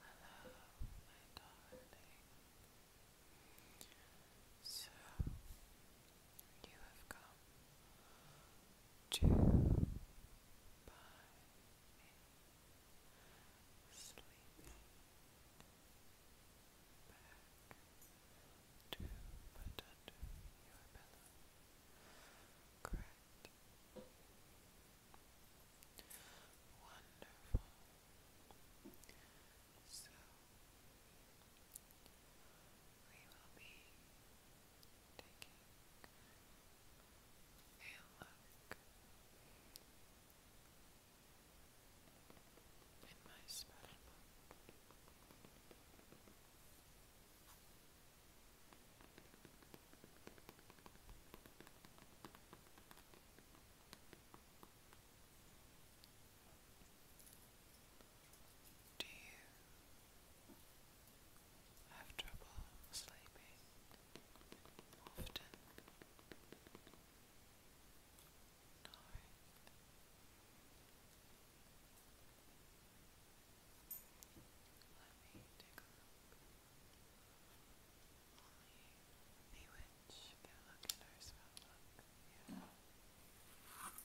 Hello, my darling. So, you have come to buy me sleeping back to put under your pillow. Wonderful. So we will be taking a look in my spell do you have trouble sleeping often? No. Let me take a look. Only Bewitch can look at our spell book. Yeah. Okay.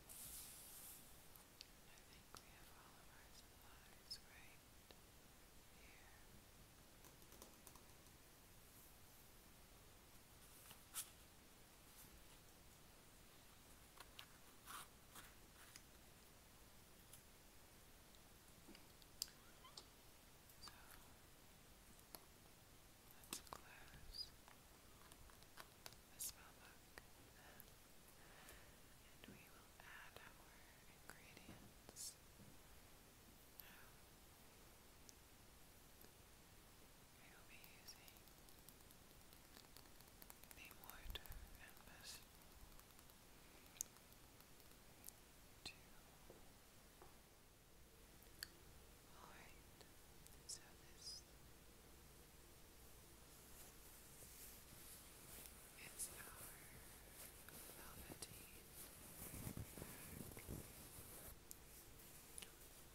I think we have all of our supplies right here. So, Let's close this notebook and we will add our ingredients. we will be using the and pestle Alright, so this it's our velveteen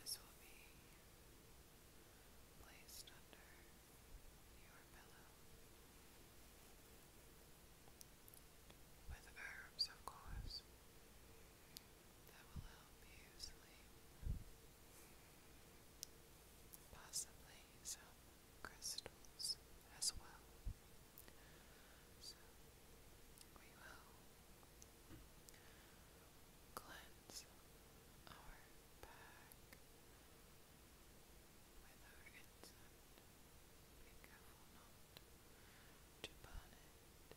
This will be placed under your pillow with herbs, of course that will help you sleep. Possibly some crystals as well. So we will cleanse our back with our incense. Be careful not to burn it.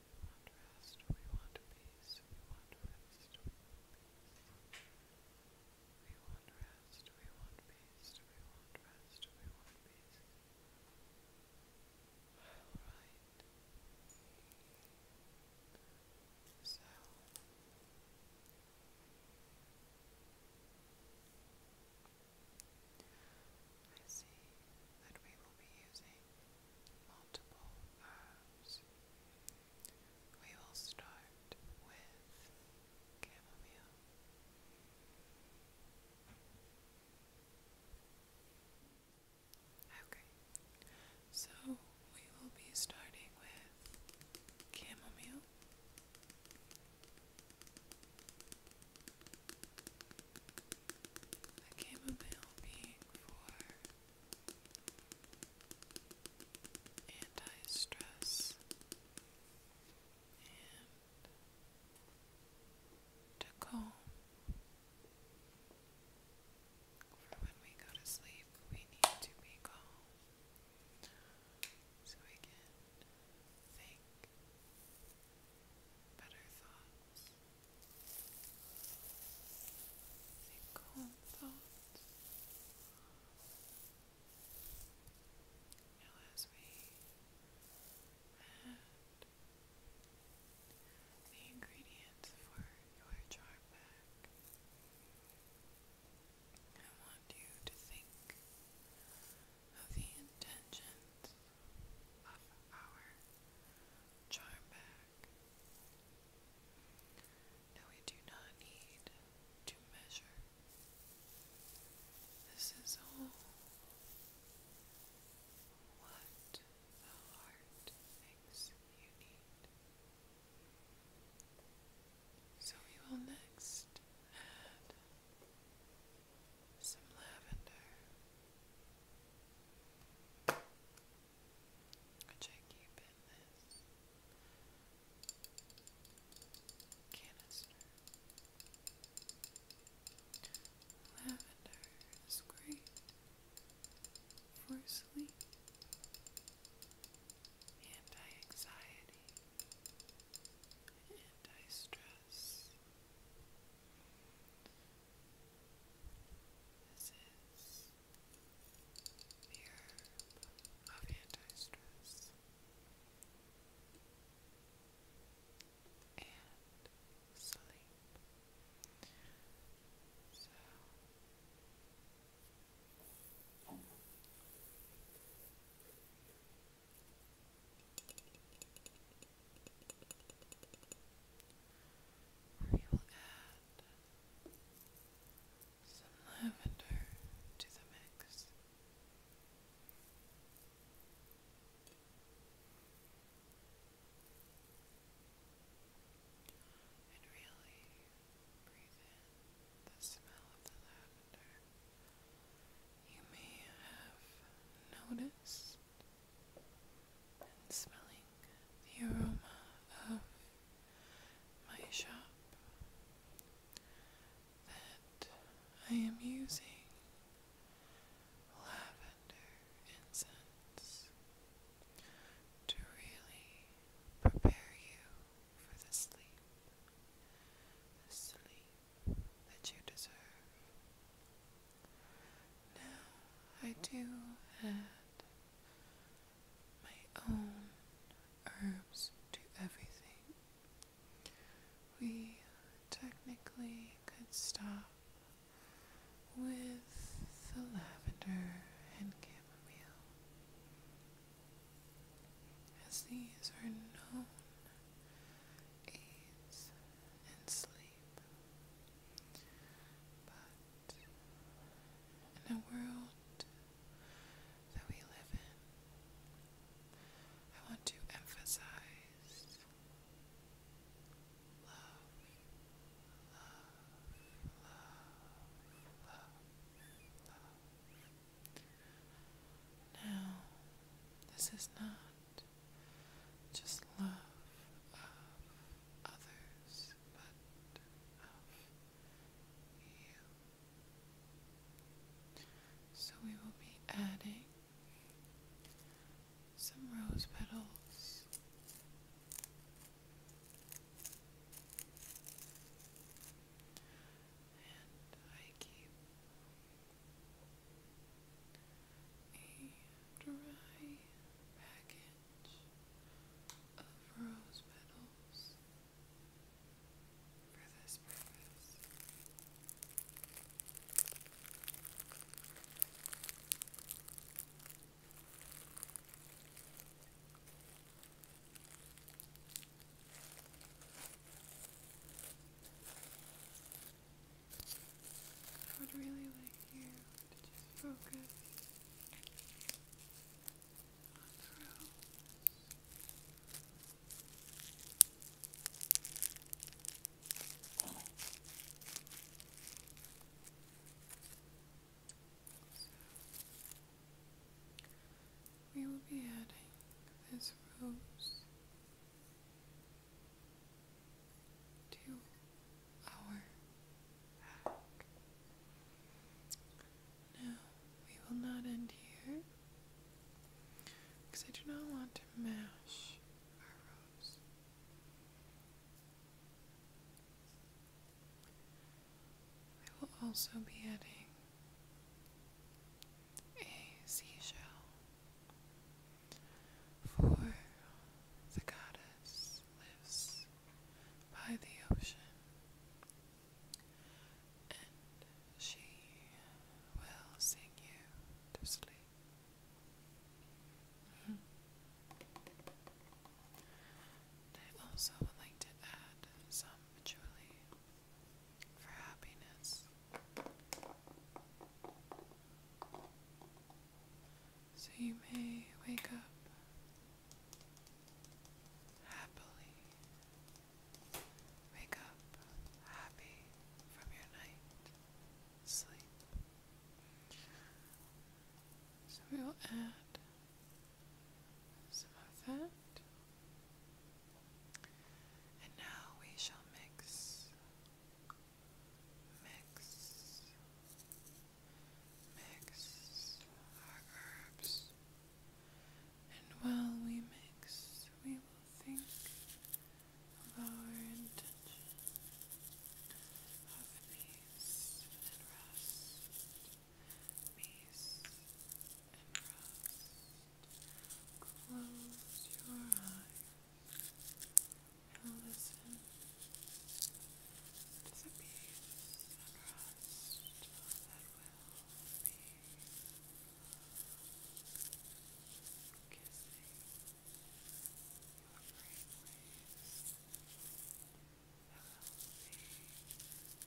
peace, we want rest, we want peace. We want rest, we want peace, we want rest, we want peace. Alright. So. I see that we will be using multiple herbs. We will start with chamomile. Okay, so we will be starting with chamomile. chamomile being for anti-stress and to calm. For when we go to sleep, we need to be calm so we can think better thoughts. Think as we add the ingredients for your jar pack, I want you to think of the intentions of our jar bag. Now we do not need to measure. This is all what the heart thinks you So we will next add some lavender. Which I keep in this canister. Lavender is great for sleep, anti anxiety, anti stress. This is the herb of anti-stress and sleep. So we will add some lavender to the mix. And really breathe in the smell of the lavender. You may have noticed and smelling the aroma of my shop that I am using lavender incense to really prepare you for the sleep, the sleep that you deserve. Now I do add my own herbs to everything. We technically could stop with the lavender and chamomile, as these are known aids in sleep in a world that we live in, I want to emphasize love, love, love, love. Now, this is not just love of others, but of you. So we will be adding some rose petals. And I keep a dry package of rose petals for this purpose. I would really like you to focus on the we will be adding this rose to our back. Now, we will not end here because I do not want to mash our rose. I will also be adding a seashell for the goddess lives by the ocean, and she will sing you to sleep. Mm-hmm. I also would like to add some patchouli for happiness so you may wake up happily. Wake up happy from your night sleep. So we will add some of that. And now we shall mix mix, mix our herbs, and while we mix, we will think of our intention of peace and rest, peace and rest. Close your eyes. Allison disappears unrest that will be kissing your will be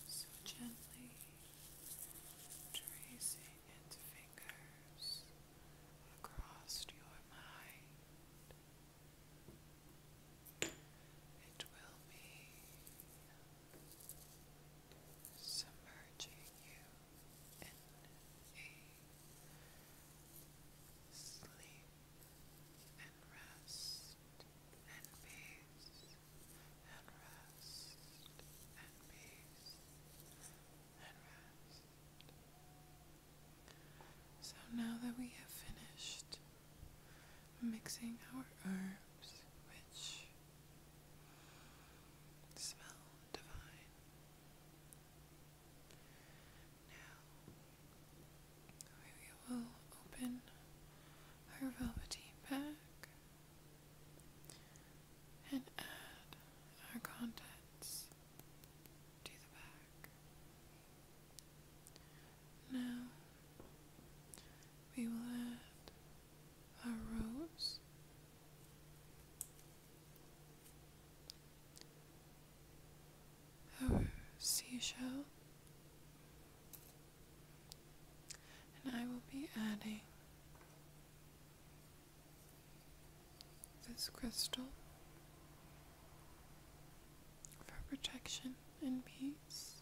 so gently tracing its fingers across your mind. It will be submerging you in a sleep and rest and peace and rest and peace and rest. So now that we have finished mixing our herbs, which smell divine, now we will open our velveteen bag. And add our contents now we will add our rose, our seashell and I will be adding this crystal for protection and peace.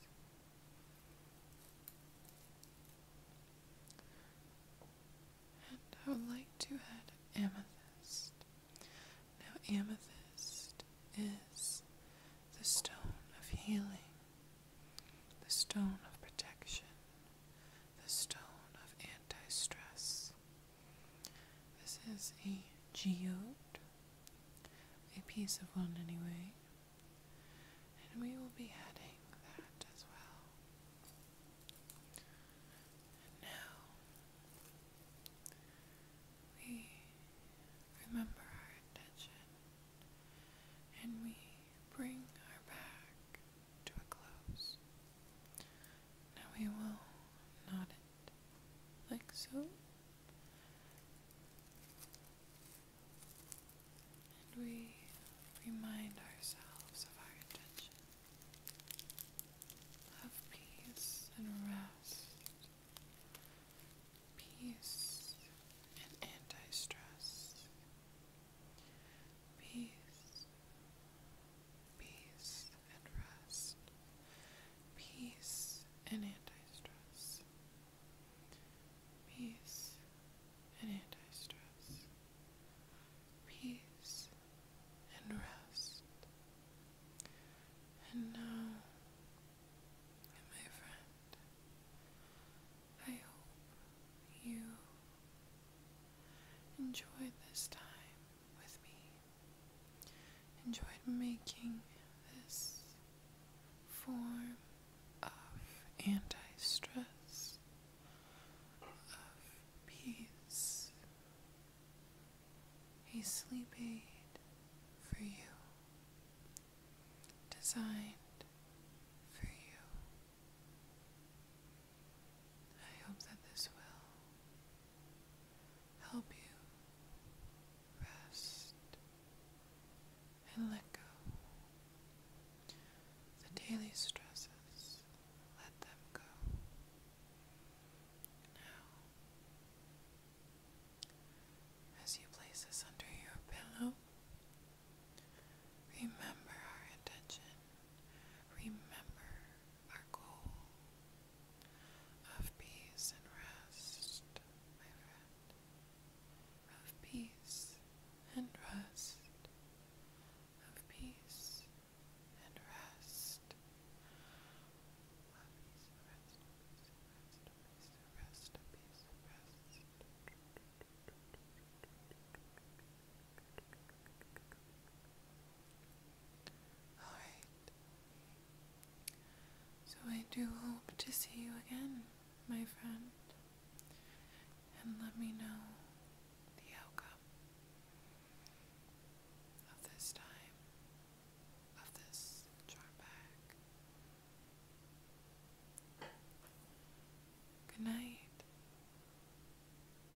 And I would like to add amethyst. Now, amethyst is the stone of healing, the stone of protection, the stone of anti stress, this is a geode, a piece of one anyway, and we will be adding that as well. now we remember our intention and we bring our back to a close. Now we will knot it like so. And we remind ourselves of our intention of peace and rest, peace and anti stress, Peace, peace and rest, peace and anti-stress, peace and anti-stress, peace and rest. And now, my friend, I hope you enjoyed this time with me. Enjoyed making this form of anti stress, of peace, a sleeping aid for you, designed for you. I hope that this will help you rest and let go. The daily stresses, let them go. Now, as you place this under your pillow, remember our intention. Remember our goal of peace and rest, my friend, of peace and rest, of peace and rest, of peace and rest, of peace and rest, of peace and rest, of peace and rest. Alright. So I do hope to see you again, my friend. And let me know the outcome of this time, of this charm bag. Good night.